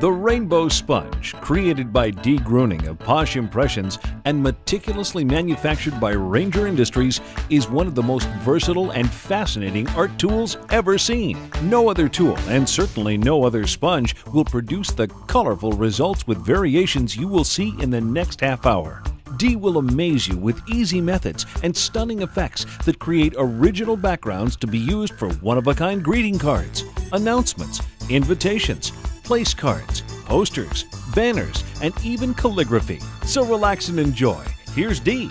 The Rainbow Sponge, created by Dee Gruning of Posh Impressions and meticulously manufactured by Ranger Industries, is one of the most versatile and fascinating art tools ever seen. No other tool, and certainly no other sponge, will produce the colorful results with variations you will see in the next half hour. D will amaze you with easy methods and stunning effects that create original backgrounds to be used for one-of-a-kind greeting cards, announcements, invitations, place cards, posters, banners, and even calligraphy. So relax and enjoy. Here's D.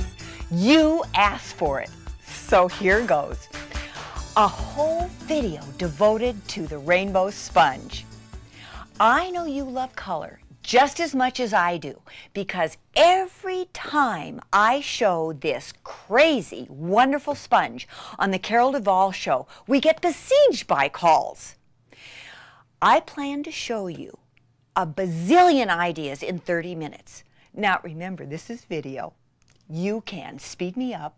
You asked for it, so here goes. A whole video devoted to the rainbow sponge. I know you love color just as much as I do because every time I show this crazy, wonderful sponge on the Carol Duvall show, we get besieged by calls. I plan to show you a bazillion ideas in 30 minutes. Now remember, this is video. You can speed me up,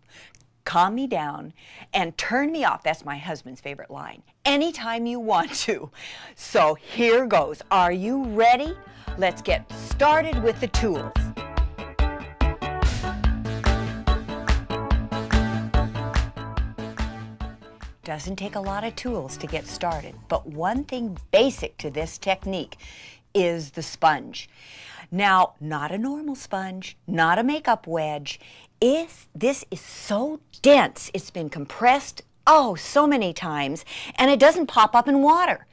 calm me down and turn me off. That's my husband's favorite line. Anytime you want to. So here goes. Are you ready? Let's get started with the tools. Doesn't take a lot of tools to get started, but one thing basic to this technique is the sponge. Now, not a normal sponge not a makeup wedge. Is this is so dense. It's been compressed oh so many times and it doesn't pop up in water.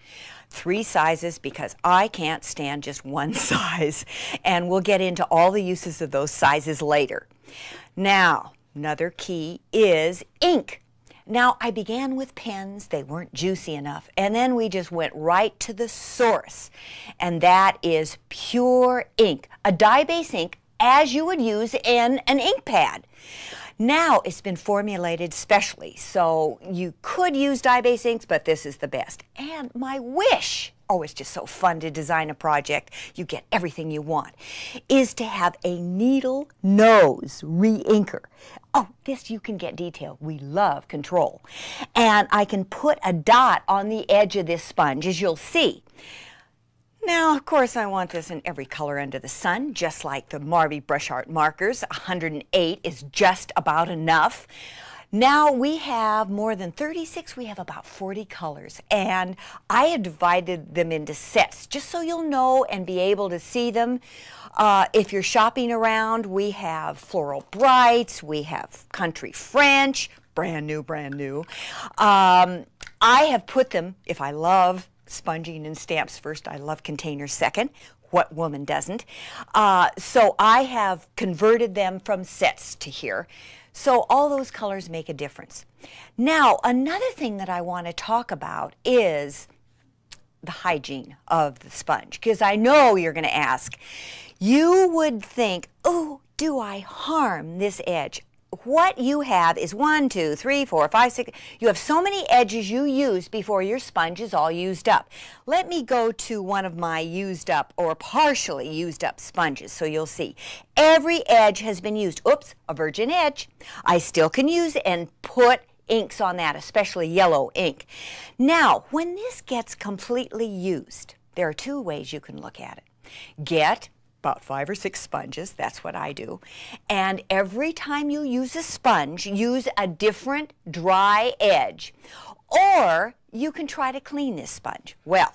Three sizes because I can't stand just one size and we'll get into all the uses of those sizes later. Now, another key is ink. Now, I began with pens, they weren't juicy enough, and then we just went right to the source, and that is pure ink, a dye-base ink, as you would use in an ink pad. Now it's been formulated specially, so you could use dye-based inks, but this is the best. And my wish, oh, it's just so fun to design a project, you get everything you want, is to have a needle nose reinker. Oh, this you can get detail. We love control. And I can put a dot on the edge of this sponge, as you'll see. Now, of course, I want this in every color under the sun, just like the Marvy Brush Art markers. 108 is just about enough. Now we have more than 36, we have about 40 colors, and I have divided them into sets just so you'll know and be able to see them. Uh, if you're shopping around, we have floral brights, we have country French, brand new, brand new. Um, I have put them, if I love sponging and stamps first, I love containers second. What woman doesn't? Uh, so I have converted them from sets to here. So all those colors make a difference. Now, another thing that I want to talk about is the hygiene of the sponge because I know you're going to ask. You would think oh, do I harm this edge? What you have is one, two, three, four, five, six. You have so many edges you use before your sponge is all used up. Let me go to one of my used up or partially used up sponges so you'll see. Every edge has been used. Oops, a virgin edge. I still can use and put inks on that, especially yellow ink. Now, when this gets completely used, there are two ways you can look at it. Get about five or six sponges, that's what I do, and every time you use a sponge, use a different dry edge. Or you can try to clean this sponge. Well,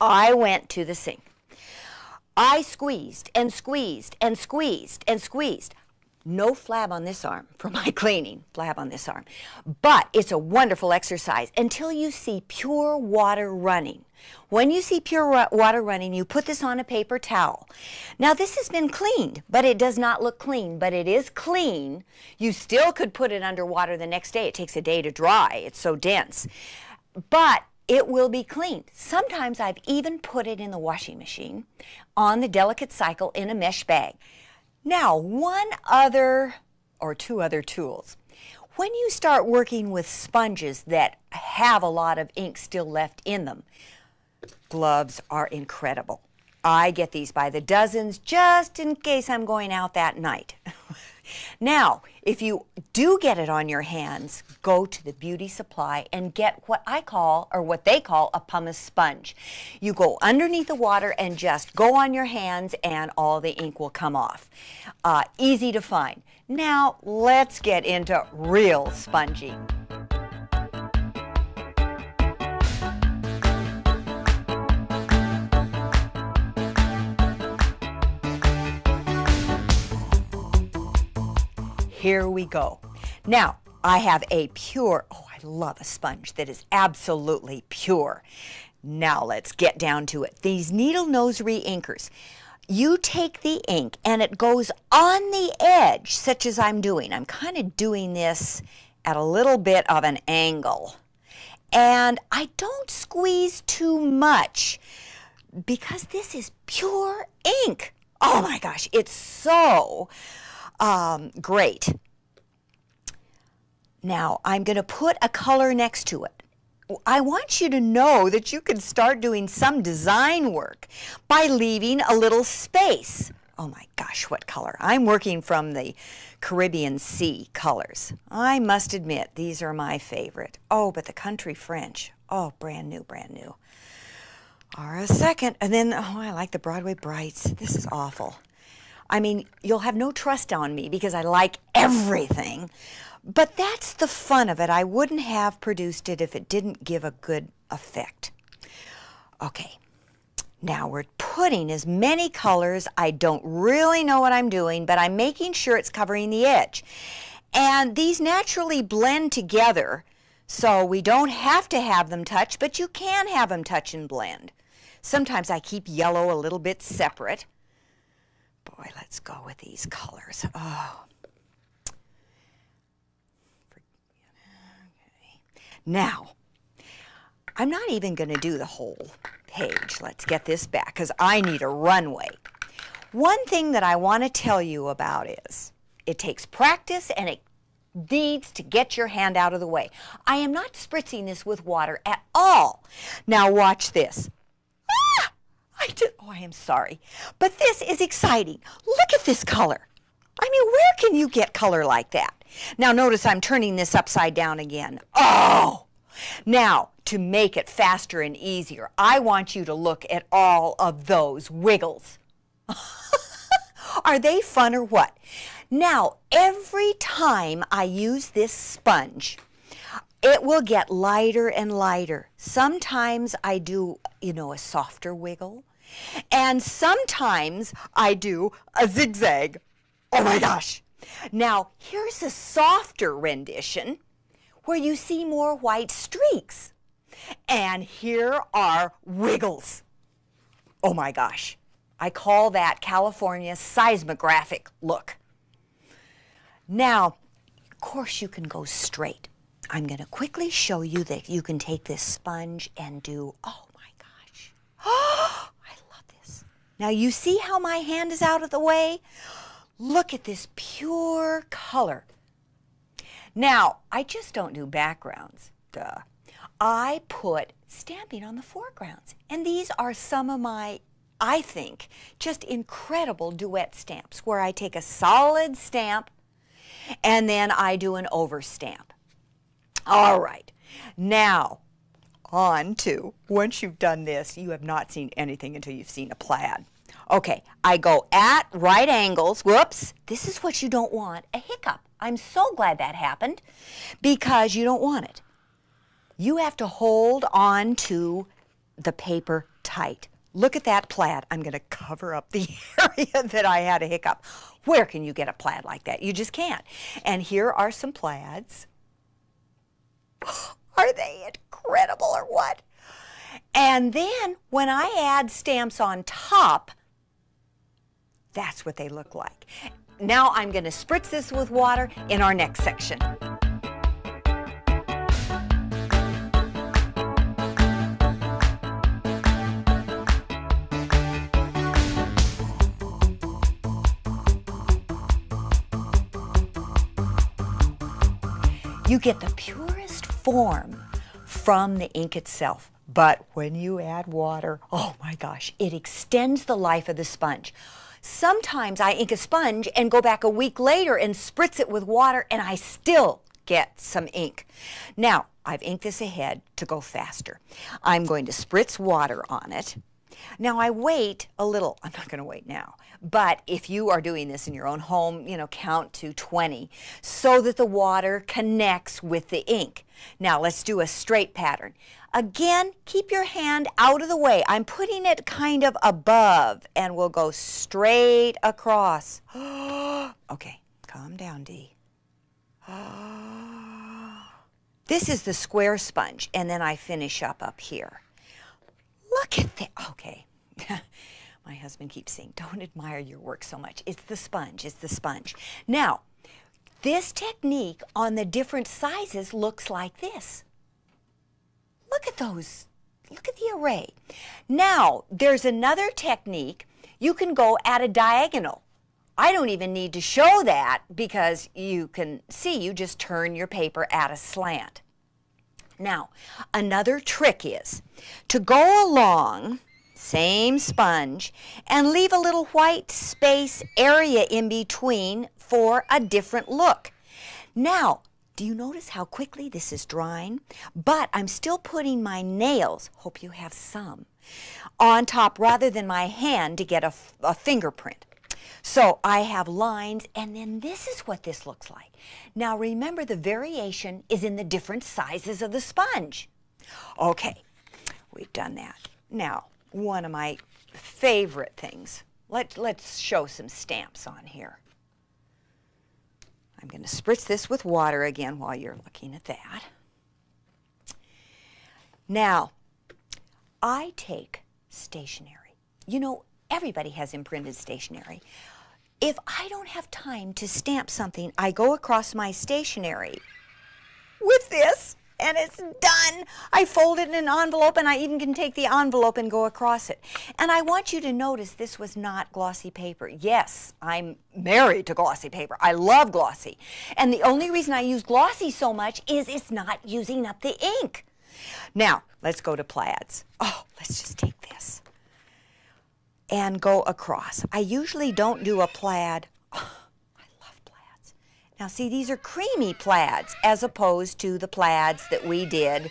I went to the sink. I squeezed and squeezed and squeezed and squeezed. No flab on this arm for my cleaning, blab on this arm. But it's a wonderful exercise until you see pure water running. When you see pure water running, you put this on a paper towel. Now this has been cleaned, but it does not look clean, but it is clean. You still could put it under water the next day. It takes a day to dry. It's so dense. But it will be cleaned. Sometimes I've even put it in the washing machine on the delicate cycle in a mesh bag. Now, one other or two other tools. When you start working with sponges that have a lot of ink still left in them, gloves are incredible. I get these by the dozens just in case I'm going out that night. now, if you do get it on your hands, go to the beauty supply and get what I call, or what they call, a pumice sponge. You go underneath the water and just go on your hands and all the ink will come off. Uh, easy to find. Now let's get into real spongy. Here we go. Now, I have a pure, oh, I love a sponge that is absolutely pure. Now let's get down to it. These needle nose reinkers. You take the ink and it goes on the edge, such as I'm doing. I'm kind of doing this at a little bit of an angle. And I don't squeeze too much because this is pure ink. Oh my gosh, it's so um, great. Now I'm going to put a color next to it. I want you to know that you can start doing some design work by leaving a little space. Oh my gosh, what color? I'm working from the Caribbean Sea colors. I must admit, these are my favorite. Oh, but the country French. Oh, brand new, brand new. are a second. And then, oh, I like the Broadway Brights. This is awful. I mean, you'll have no trust on me because I like everything. But that's the fun of it. I wouldn't have produced it if it didn't give a good effect. Okay, now we're putting as many colors. I don't really know what I'm doing, but I'm making sure it's covering the edge. And these naturally blend together, so we don't have to have them touch, but you can have them touch and blend. Sometimes I keep yellow a little bit separate. Boy, let's go with these colors. Oh. Now, I'm not even going to do the whole page. Let's get this back because I need a runway. One thing that I want to tell you about is it takes practice and it needs to get your hand out of the way. I am not spritzing this with water at all. Now watch this. Ah, I did, oh, I am sorry. But this is exciting. Look at this color. I mean, where can you get color like that? Now notice I'm turning this upside down again. Oh! Now, to make it faster and easier, I want you to look at all of those wiggles. Are they fun or what? Now, every time I use this sponge, it will get lighter and lighter. Sometimes I do, you know, a softer wiggle. And sometimes I do a zigzag. Oh my gosh. Now, here's a softer rendition where you see more white streaks. And here are wiggles. Oh my gosh. I call that California seismographic look. Now, of course you can go straight. I'm going to quickly show you that you can take this sponge and do, oh my gosh. Oh, I love this. Now you see how my hand is out of the way? Look at this pure color. Now, I just don't do backgrounds, duh. I put stamping on the foregrounds. And these are some of my, I think, just incredible duet stamps where I take a solid stamp and then I do an over stamp. All right, now on to, once you've done this, you have not seen anything until you've seen a plaid. Okay, I go at right angles. Whoops, this is what you don't want, a hiccup. I'm so glad that happened because you don't want it. You have to hold on to the paper tight. Look at that plaid. I'm going to cover up the area that I had a hiccup. Where can you get a plaid like that? You just can't. And here are some plaids. Are they incredible or what? And then when I add stamps on top, that's what they look like. Now I'm going to spritz this with water in our next section. You get the purest form from the ink itself. But when you add water, oh my gosh, it extends the life of the sponge. Sometimes I ink a sponge and go back a week later and spritz it with water and I still get some ink. Now, I've inked this ahead to go faster. I'm going to spritz water on it. Now I wait a little, I'm not going to wait now, but if you are doing this in your own home, you know, count to 20 so that the water connects with the ink. Now let's do a straight pattern. Again, keep your hand out of the way. I'm putting it kind of above and we'll go straight across. okay, calm down, D. this is the square sponge and then I finish up up here. Look at that. Okay. My husband keeps saying, don't admire your work so much. It's the sponge. It's the sponge. Now, this technique on the different sizes looks like this. Look at those. Look at the array. Now, there's another technique. You can go at a diagonal. I don't even need to show that because you can see you just turn your paper at a slant. Now, another trick is to go along, same sponge, and leave a little white space area in between for a different look. Now, do you notice how quickly this is drying? But I'm still putting my nails, hope you have some, on top rather than my hand to get a fingerprint. So I have lines and then this is what this looks like. Now remember the variation is in the different sizes of the sponge. Okay, we've done that. Now, one of my favorite things. Let, us show some stamps on here. I'm going to spritz this with water again while you're looking at that. Now, I take stationery. You know, everybody has imprinted stationery. If I don't have time to stamp something, I go across my stationery with this and it's done. I fold it in an envelope and I even can take the envelope and go across it. And I want you to notice this was not glossy paper. Yes, I'm married to glossy paper. I love glossy. And the only reason I use glossy so much is it's not using up the ink. Now, let's go to plaids. Oh, let's just take this and go across. I usually don't do a plaid. I love plaids. Now see, these are creamy plaids as opposed to the plaids that we did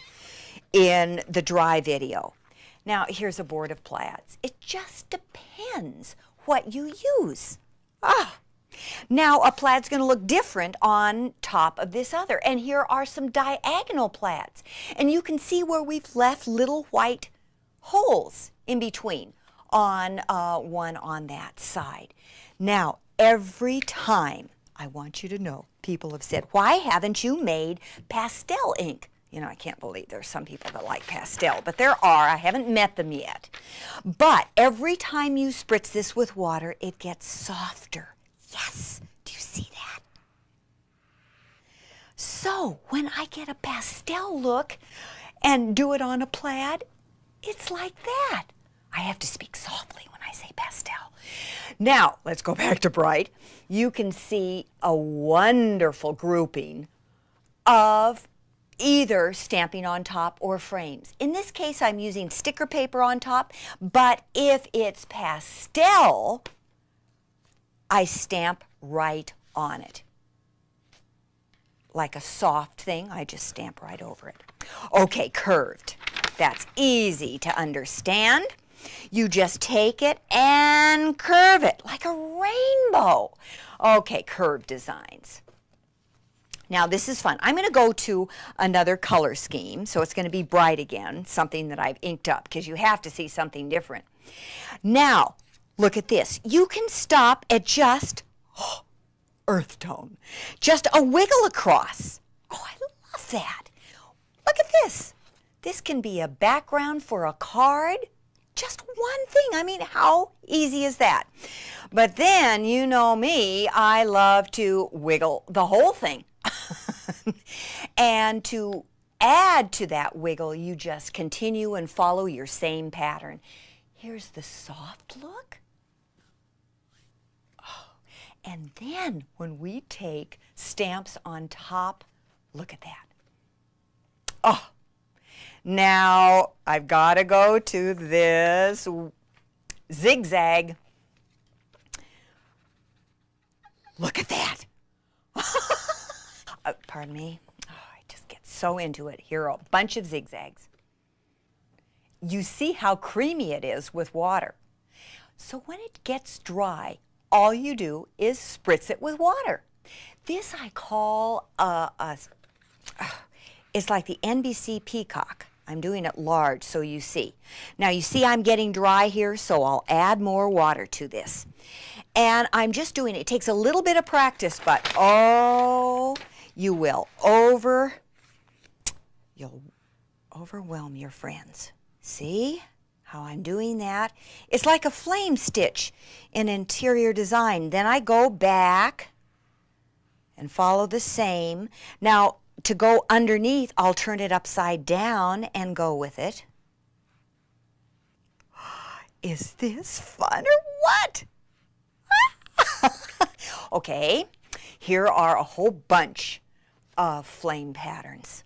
in the dry video. Now here's a board of plaids. It just depends what you use. Ah. Now a plaid's going to look different on top of this other. And here are some diagonal plaids. And you can see where we've left little white holes in between on uh, one on that side. Now, every time, I want you to know, people have said, why haven't you made pastel ink? You know, I can't believe there's some people that like pastel, but there are. I haven't met them yet. But every time you spritz this with water, it gets softer. Yes, do you see that? So when I get a pastel look and do it on a plaid, it's like that. I have to speak softly when I say pastel. Now, let's go back to bright. You can see a wonderful grouping of either stamping on top or frames. In this case, I'm using sticker paper on top, but if it's pastel, I stamp right on it like a soft thing, I just stamp right over it. Okay, curved. That's easy to understand. You just take it and curve it like a rainbow. Okay, curved designs. Now this is fun. I'm going to go to another color scheme, so it's going to be bright again, something that I've inked up because you have to see something different. Now, look at this. You can stop at just earth tone. Just a wiggle across. Oh, I love that. Look at this. This can be a background for a card. Just one thing. I mean, how easy is that? But then, you know me, I love to wiggle the whole thing. and to add to that wiggle, you just continue and follow your same pattern. Here's the soft look. Oh, and then when we take stamps on top, look at that. Oh, now I've got to go to this zigzag. Look at that. Uh, pardon me. Oh, I just get so into it. Here are a bunch of zigzags. You see how creamy it is with water. So when it gets dry, all you do is spritz it with water. This I call a, uh, it's like the NBC peacock. I'm doing it large so you see. Now you see I'm getting dry here so I'll add more water to this. And I'm just doing it. It takes a little bit of practice but oh you will over you'll overwhelm your friends. See how I'm doing that? It's like a flame stitch in interior design. Then I go back and follow the same. Now, to go underneath, I'll turn it upside down and go with it. Is this fun or what? okay, here are a whole bunch of flame patterns.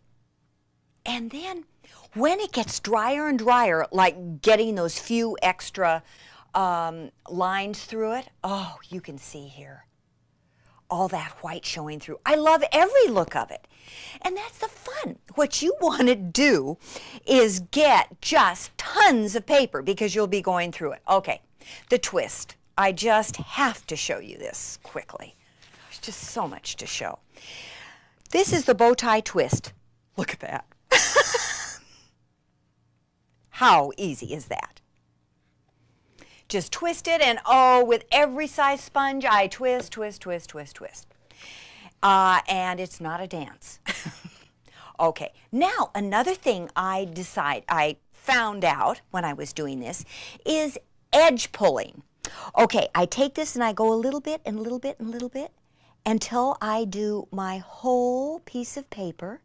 And then when it gets drier and drier, like getting those few extra um, lines through it, oh, you can see here all that white showing through. I love every look of it. And that's the fun. What you want to do is get just tons of paper because you'll be going through it. Okay, the twist. I just have to show you this quickly. There's just so much to show. This is the bow tie twist. Look at that. How easy is that? Just twist it and oh, with every size sponge, I twist, twist, twist, twist, twist. Uh, and it's not a dance. Okay, now another thing I decide I found out when I was doing this is edge pulling. Okay, I take this and I go a little bit and a little bit and a little bit until I do my whole piece of paper.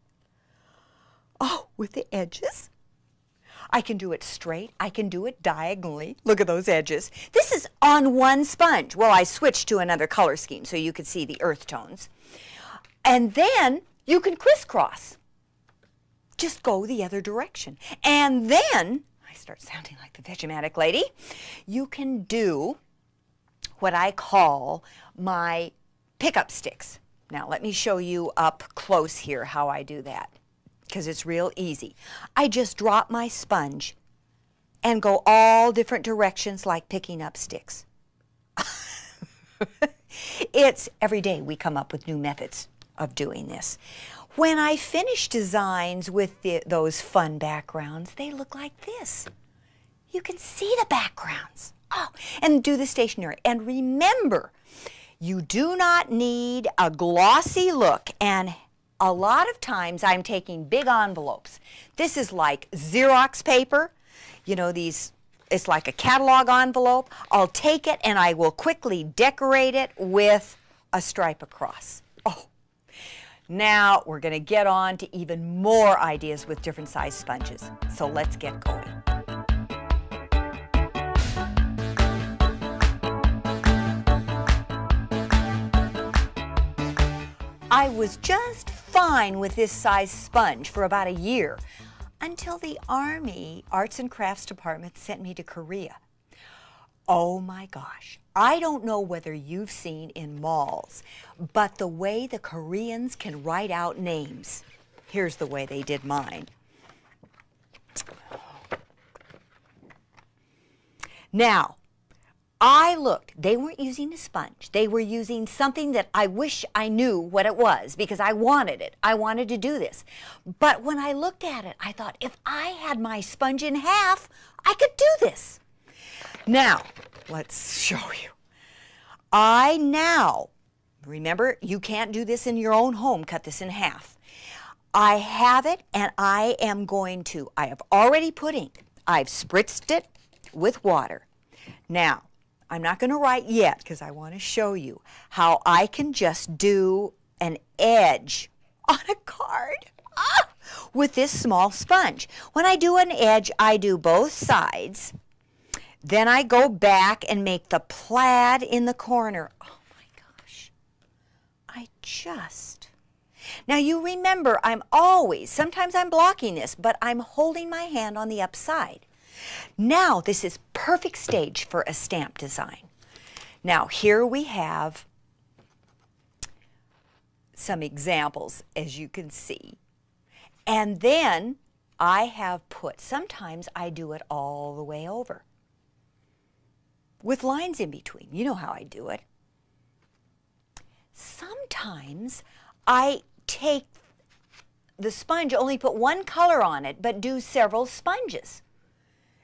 Oh, with the edges. I can do it straight. I can do it diagonally. Look at those edges. This is on one sponge. Well, I switched to another color scheme so you could see the earth tones. And then you can crisscross. Just go the other direction. And then, I start sounding like the Vegematic lady, you can do what I call my pickup sticks. Now let me show you up close here how I do that because it's real easy. I just drop my sponge and go all different directions like picking up sticks. it's every day we come up with new methods of doing this. When I finish designs with those fun backgrounds, they look like this. You can see the backgrounds. Oh, and do the stationery. And remember, you do not need a glossy look and a lot of times I'm taking big envelopes. This is like Xerox paper, you know, these it's like a catalog envelope. I'll take it and I will quickly decorate it with a stripe across. Oh, now we're going to get on to even more ideas with different size sponges. So let's get going. I was just fine with this size sponge for about a year until the Army Arts and Crafts Department sent me to Korea. Oh my gosh, I don't know whether you've seen in malls, but the way the Koreans can write out names. Here's the way they did mine. Now, I looked. They weren't using a sponge. They were using something that I wish I knew what it was because I wanted it. I wanted to do this. But when I looked at it, I thought, if I had my sponge in half, I could do this. Now, let's show you. I now, remember, you can't do this in your own home, cut this in half. I have it and I am going to, I have already put ink. I've spritzed it with water. Now, I'm not going to write yet because I want to show you how I can just do an edge on a card ah, with this small sponge. When I do an edge, I do both sides. Then I go back and make the plaid in the corner. Oh my gosh. I just. Now you remember, I'm always, sometimes I'm blocking this, but I'm holding my hand on the upside. Now this is perfect stage for a stamp design. Now here we have some examples as you can see. And then I have put, sometimes I do it all the way over with lines in between. You know how I do it. Sometimes I take the sponge, only put one color on it, but do several sponges.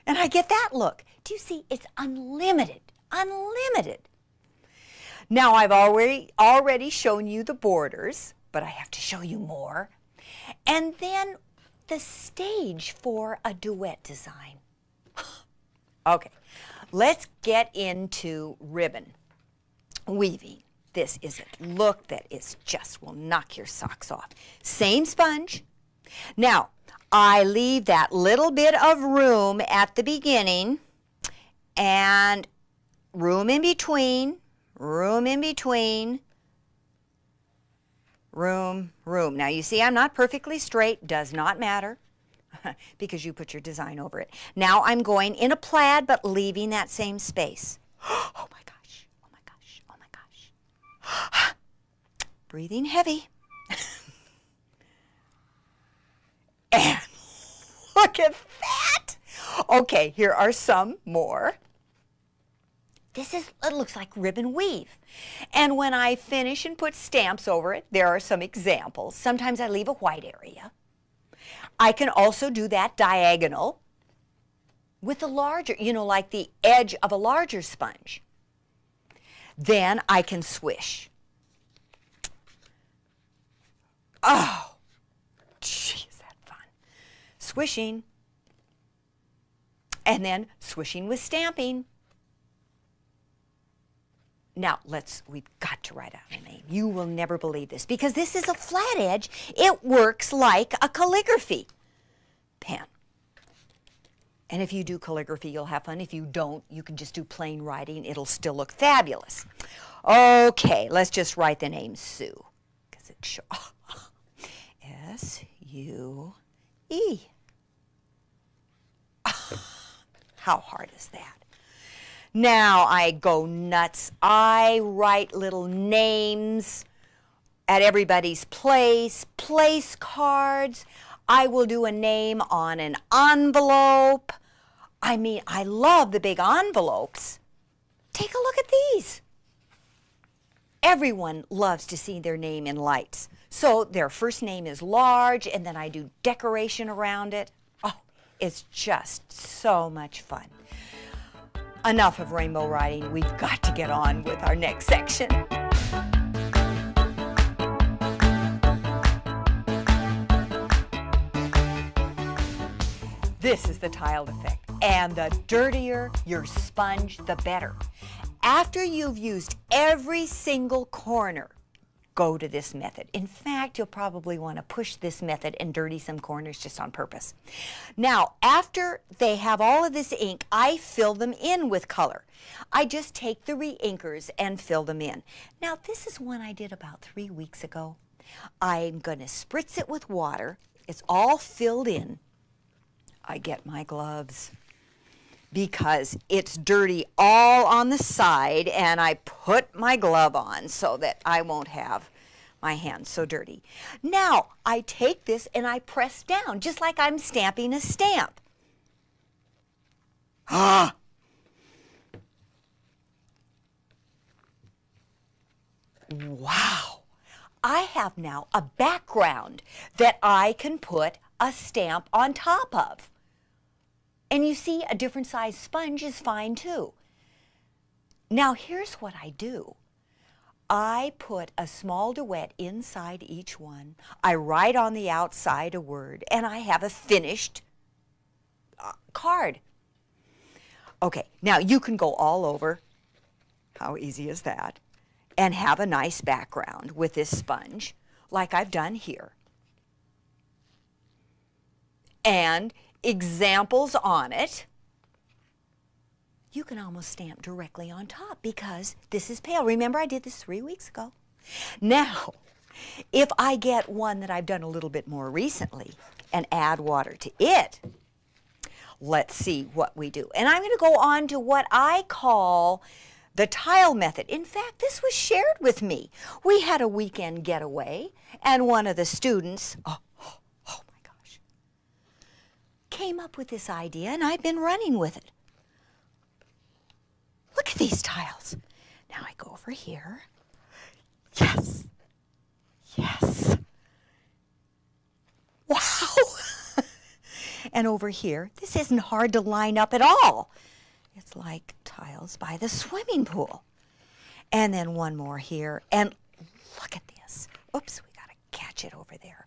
And I get that look. Do you see? It's unlimited, unlimited. Now I've already, already shown you the borders, but I have to show you more. And then the stage for a duet design. okay, let's get into ribbon weaving. This is a look that is just will knock your socks off. Same sponge. Now, I leave that little bit of room at the beginning and room in between, room in between, room, room. Now you see I'm not perfectly straight, does not matter because you put your design over it. Now I'm going in a plaid, but leaving that same space. Oh my gosh, oh my gosh, oh my gosh. Breathing heavy. and look at that. Okay, here are some more. This is, it looks like ribbon weave. And when I finish and put stamps over it, there are some examples. Sometimes I leave a white area. I can also do that diagonal with a larger, you know, like the edge of a larger sponge. Then I can swish. Oh, is that fun. Swishing. And then swishing with stamping. Now, let's, we got to write out a name. You will never believe this because this is a flat edge. It works like a calligraphy pen. And if you do calligraphy, you'll have fun. If you don't, you can just do plain writing. It'll still look fabulous. Okay, let's just write the name Sue because it's S-U-E. How hard is that? Now I go nuts. I write little names at everybody's place, place cards. I will do a name on an envelope. I mean, I love the big envelopes. Take a look at these. Everyone loves to see their name in lights. So their first name is large, and then I do decoration around it. Oh, it's just so much fun. Enough of rainbow riding. We've got to get on with our next section. This is the tiled effect. And the dirtier your sponge, the better. After you've used every single corner, go to this method. In fact, you'll probably want to push this method and dirty some corners just on purpose. Now, after they have all of this ink, I fill them in with color. I just take the reinkers and fill them in. Now, this is one I did about three weeks ago. I'm going to spritz it with water. It's all filled in. I get my gloves because it's dirty all on the side and I put my glove on so that I won't have my hand's so dirty. Now, I take this and I press down, just like I'm stamping a stamp. Ah! wow! I have now a background that I can put a stamp on top of. And you see, a different size sponge is fine too. Now here's what I do. I put a small duet inside each one. I write on the outside a word, and I have a finished uh, card. Okay, now you can go all over. How easy is that? And have a nice background with this sponge, like I've done here and examples on it, you can almost stamp directly on top because this is pale. Remember I did this three weeks ago. Now, if I get one that I've done a little bit more recently and add water to it, let's see what we do. And I'm going to go on to what I call the tile method. In fact, this was shared with me. We had a weekend getaway and one of the students, oh, oh, my gosh, came up with this idea and I've been running with it. Look at these tiles. Now I go over here. Yes. Yes. Wow. and over here, this isn't hard to line up at all. It's like tiles by the swimming pool. And then one more here. And look at this. Oops, we got to catch it over there.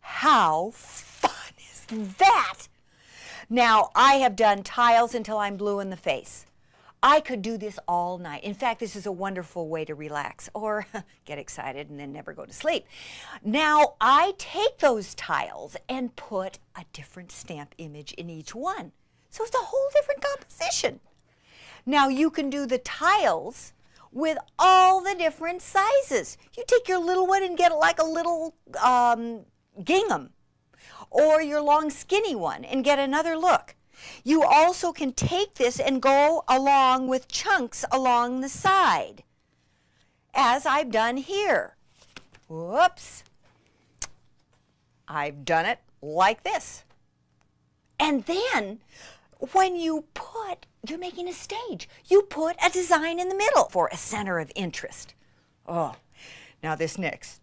How fun is that? Now, I have done tiles until I'm blue in the face. I could do this all night. In fact, this is a wonderful way to relax or get excited and then never go to sleep. Now, I take those tiles and put a different stamp image in each one. So it's a whole different composition. Now you can do the tiles with all the different sizes. You take your little one and get like a little um, gingham or your long skinny one and get another look. You also can take this and go along with chunks along the side as I've done here. Whoops. I've done it like this. And then when you put, you're making a stage, you put a design in the middle for a center of interest. Oh, now this next,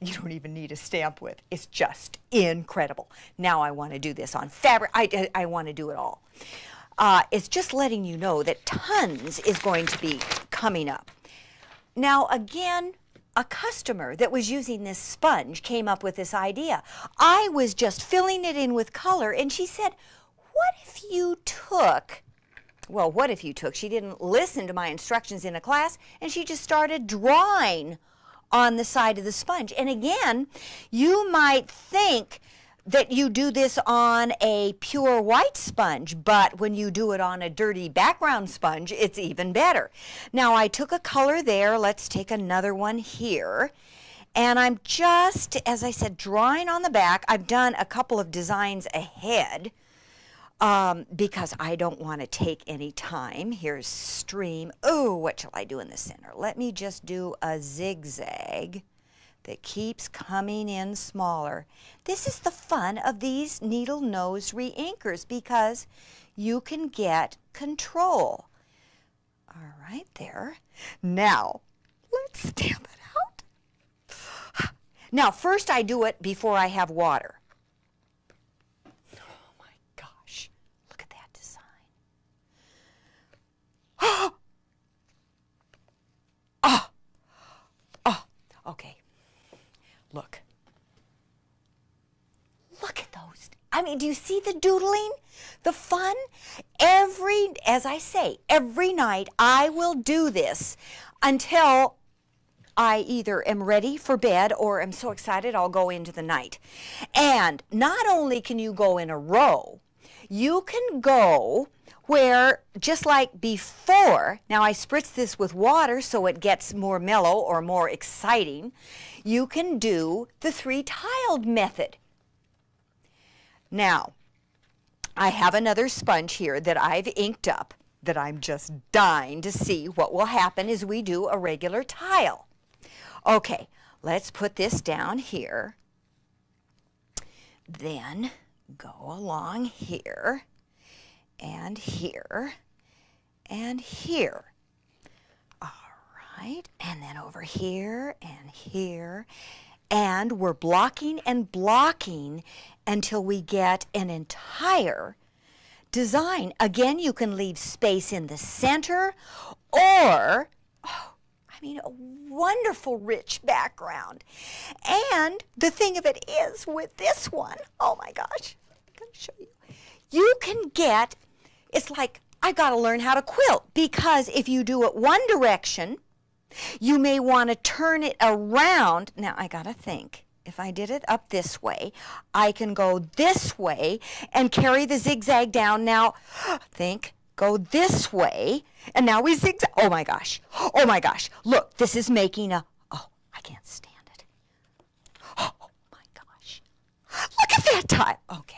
you don't even need a stamp with. It's just incredible. Now I want to do this on fabric. I, I, want to do it all. Uh, it's just letting you know that tons is going to be coming up. Now again, a customer that was using this sponge came up with this idea. I was just filling it in with color, and she said, what if you took, well, what if you took, she didn't listen to my instructions in a class, and she just started drawing on the side of the sponge. And again, you might think that you do this on a pure white sponge, but when you do it on a dirty background sponge, it's even better. Now I took a color there. Let's take another one here. And I'm just, as I said, drawing on the back. I've done a couple of designs ahead um, because I don't want to take any time. Here's stream. Oh, what shall I do in the center? Let me just do a zigzag that keeps coming in smaller. This is the fun of these needle nose reinkers because you can get control. All right, there. Now, let's stamp it out. Now, first I do it before I have water. Oh my gosh, look at that design. Oh, oh, okay. Look. Look at those. I mean, do you see the doodling? The fun? Every, as I say, every night I will do this until I either am ready for bed or am so excited I'll go into the night. And not only can you go in a row, you can go where just like before, now I spritz this with water so it gets more mellow or more exciting, you can do the three-tiled method. Now, I have another sponge here that I've inked up that I'm just dying to see what will happen as we do a regular tile. Okay, let's put this down here. Then go along here and here and here. All right, and then over here and here. And we're blocking and blocking until we get an entire design. Again, you can leave space in the center or, oh, I mean, a wonderful rich background. And the thing of it is with this one, oh my gosh, I'm going to show you you can get, it's like, I got to learn how to quilt because if you do it one direction, you may want to turn it around. Now, I got to think. If I did it up this way, I can go this way and carry the zigzag down. Now, think, go this way, and now we zigzag. Oh my gosh. Oh my gosh. Look, this is making a. Oh, I can't stand it. Oh my gosh. Look at that tile. Okay.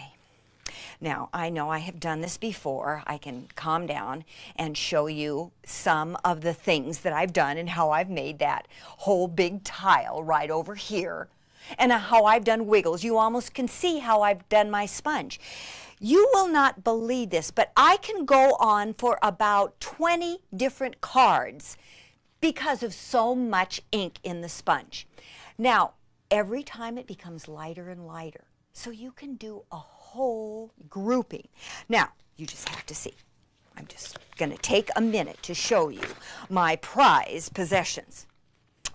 Now, I know I have done this before. I can calm down and show you some of the things that I've done and how I've made that whole big tile right over here and uh, how I've done wiggles. You almost can see how I've done my sponge. You will not believe this, but I can go on for about 20 different cards because of so much ink in the sponge. Now, every time it becomes lighter and lighter, so you can do a whole grouping. Now, you just have to see. I'm just going to take a minute to show you my prize possessions.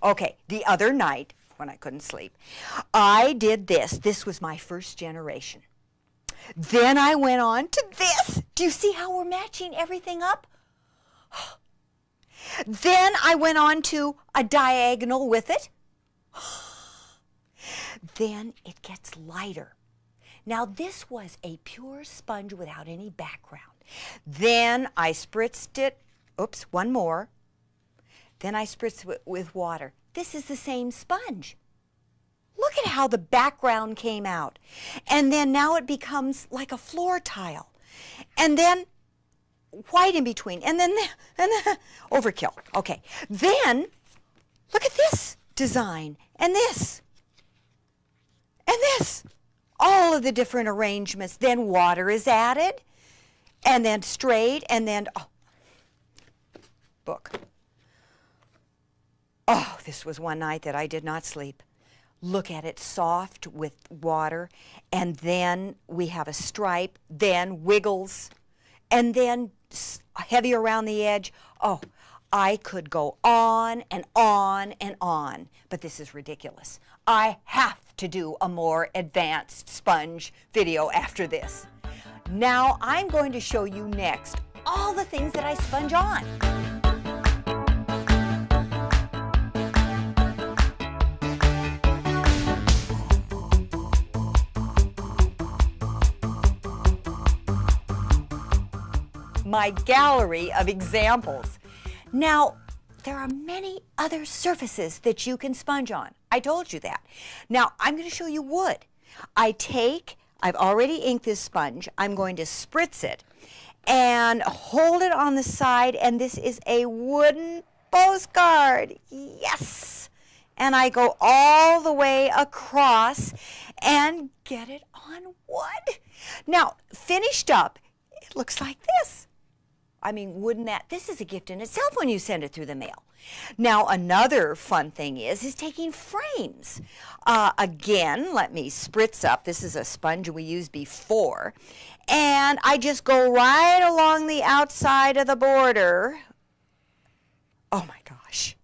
Okay, the other night, when I couldn't sleep, I did this. This was my first generation. Then I went on to this. Do you see how we're matching everything up? Then I went on to a diagonal with it. Then it gets lighter. Now this was a pure sponge without any background. Then I spritzed it, oops, one more. Then I spritzed it with water. This is the same sponge. Look at how the background came out. And then now it becomes like a floor tile. And then white in between. And then, and overkill. Okay. Then look at this design and this and this. All of the different arrangements. Then water is added and then straight and then oh, book. Oh, this was one night that I did not sleep. Look at it soft with water, and then we have a stripe, then wiggles, and then heavy around the edge. Oh, I could go on and on and on, but this is ridiculous. I have to do a more advanced sponge video after this. Now I'm going to show you next all the things that I sponge on. My gallery of examples. Now, there are many other surfaces that you can sponge on. I told you that. Now, I'm going to show you wood. I take, I've already inked this sponge. I'm going to spritz it and hold it on the side. And this is a wooden postcard. Yes. And I go all the way across and get it on wood. Now, finished up, it looks like this. I mean, wouldn't that, this is a gift in itself when you send it through the mail. Now, another fun thing is, is taking frames. Uh, again, let me spritz up. This is a sponge we used before. And I just go right along the outside of the border. Oh my gosh.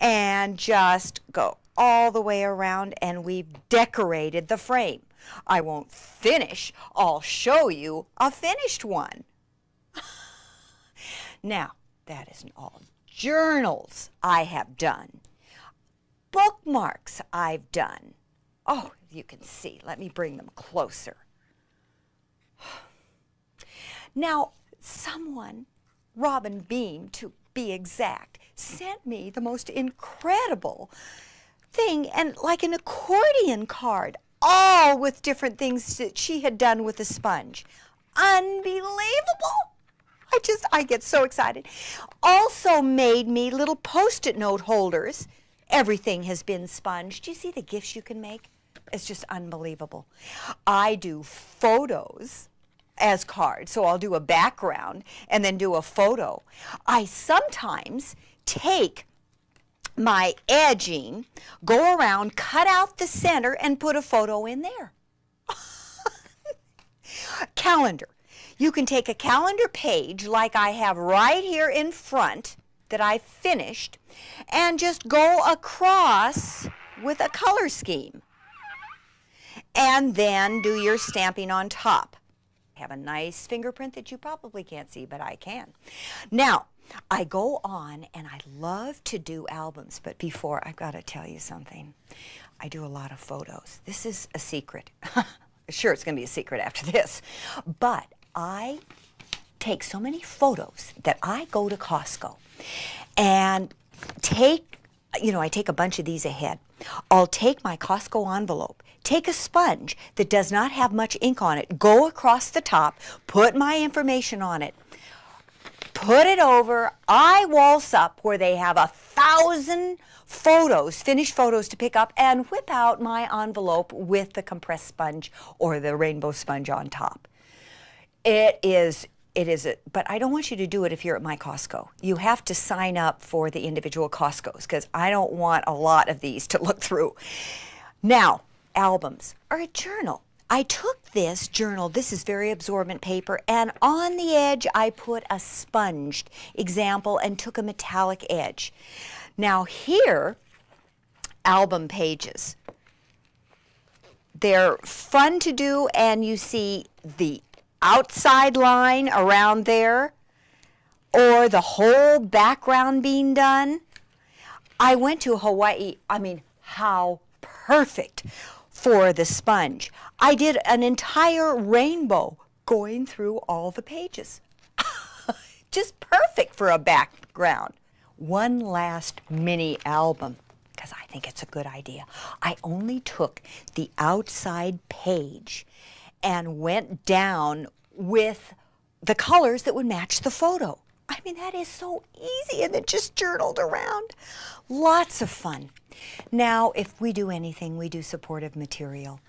And just go all the way around and we've decorated the frame. I won't finish. I'll show you a finished one. now, that isn't all journals I have done bookmarks I've done. Oh, you can see. Let me bring them closer. Now, someone, Robin Beam to be exact, sent me the most incredible thing and like an accordion card, all with different things that she had done with a sponge. Unbelievable! I just, I get so excited. Also made me little post-it note holders. Everything has been sponged. you see the gifts you can make? It's just unbelievable. I do photos as cards, so I'll do a background and then do a photo. I sometimes take my edging, go around, cut out the center, and put a photo in there. calendar. You can take a calendar page like I have right here in front that I finished and just go across with a color scheme. And then do your stamping on top. have a nice fingerprint that you probably can't see, but I can. Now, I go on and I love to do albums, but before I've got to tell you something. I do a lot of photos. This is a secret. sure, it's going to be a secret after this. But I take so many photos that I go to Costco and take, you know, I take a bunch of these ahead. I'll take my Costco envelope, take a sponge that does not have much ink on it, go across the top, put my information on it, put it over I waltz up where they have a thousand photos, finished photos to pick up, and whip out my envelope with the compressed sponge or the rainbow sponge on top. It is it is but I don't want you to do it if you're at my Costco. You have to sign up for the individual Costcos because I don't want a lot of these to look through. Now, albums or a journal. I took this journal, this is very absorbent paper, and on the edge I put a sponged example and took a metallic edge. Now here, album pages. They're fun to do and you see the outside line around there or the whole background being done. I went to Hawaii, I mean, how perfect for the sponge. I did an entire rainbow going through all the pages. Just perfect for a background. One last mini album, because I think it's a good idea. I only took the outside page and went down with the colors that would match the photo. I mean, that is so easy, and it just journaled around. Lots of fun. Now, if we do anything, we do supportive material.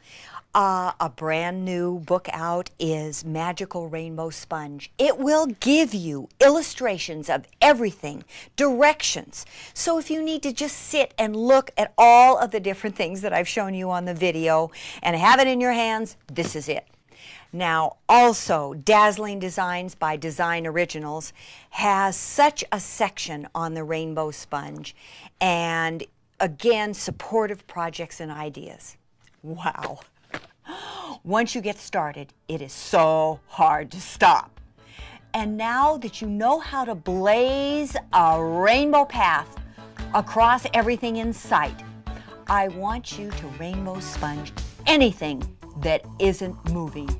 Uh, a brand new book out is Magical Rainbow Sponge. It will give you illustrations of everything, directions. So if you need to just sit and look at all of the different things that I've shown you on the video and have it in your hands, this is it. Now, also, dazzling designs by Design Originals has such a section on the rainbow sponge and again supportive projects and ideas. Wow. Once you get started, it is so hard to stop. And now that you know how to blaze a rainbow path across everything in sight, I want you to rainbow sponge anything that isn't moving